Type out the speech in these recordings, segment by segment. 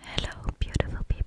Hello, beautiful people.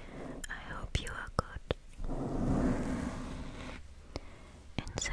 I hope you are good and safe.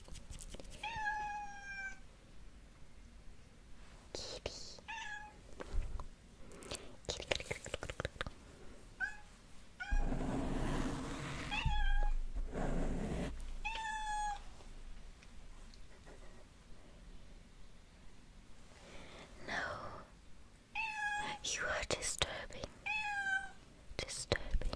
Kitty. Kitty, kitty, kitty, kitty, No, you are disturbing, disturbing.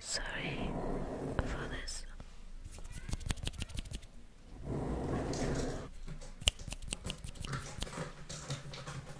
Sorry for this.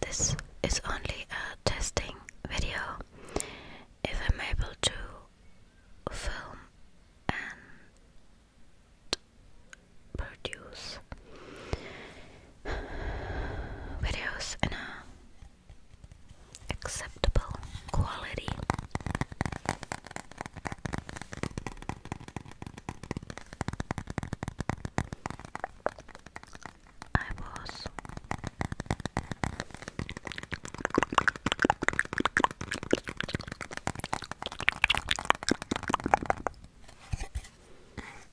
This is only a testing video. If I'm able to film and produce videos in a acceptable quality. I was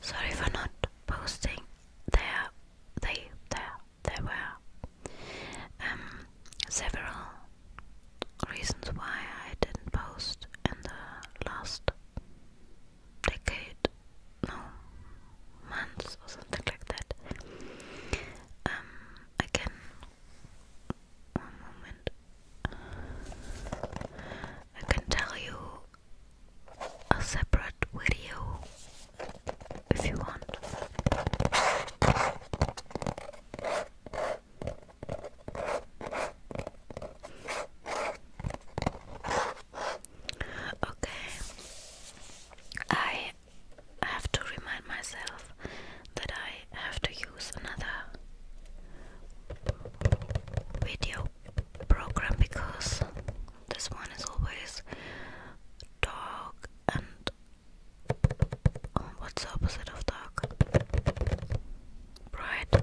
Sorry for not posting. There, they, there, there were um, several reasons why I didn't post in the last decade, no, months or something like that. Um, I can. One moment. I can tell you a separate video if you want. Okay, I have to remind myself that I have to use another video program because this one is always dark and what's the opposite of dark? Bright.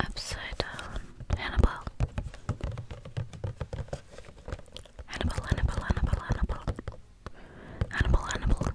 Upside down, Hannibal. Hannibal, Hannibal, Hannibal, Hannibal. Hannibal, Hannibal.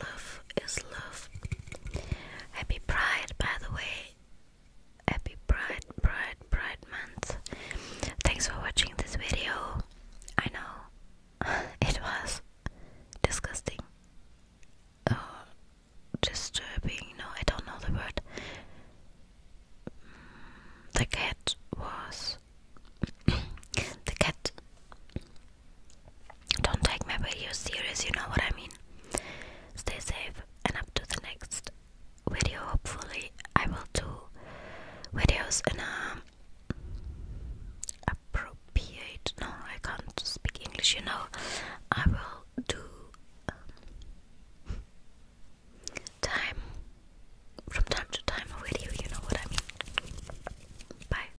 Love is love. Happy Pride, by the way. Happy Pride, Pride, Pride Month. Thanks for watching this video. I know it was disgusting oh, disturbing. No, I don't know the word. The cat was. the cat don't take my videos serious, you know what I mean? Stay safe and up to the next video. Hopefully, I will do videos in a appropriate. No, I can't speak English, you know. I will do um, time from time to time a video, you know what I mean? Bye.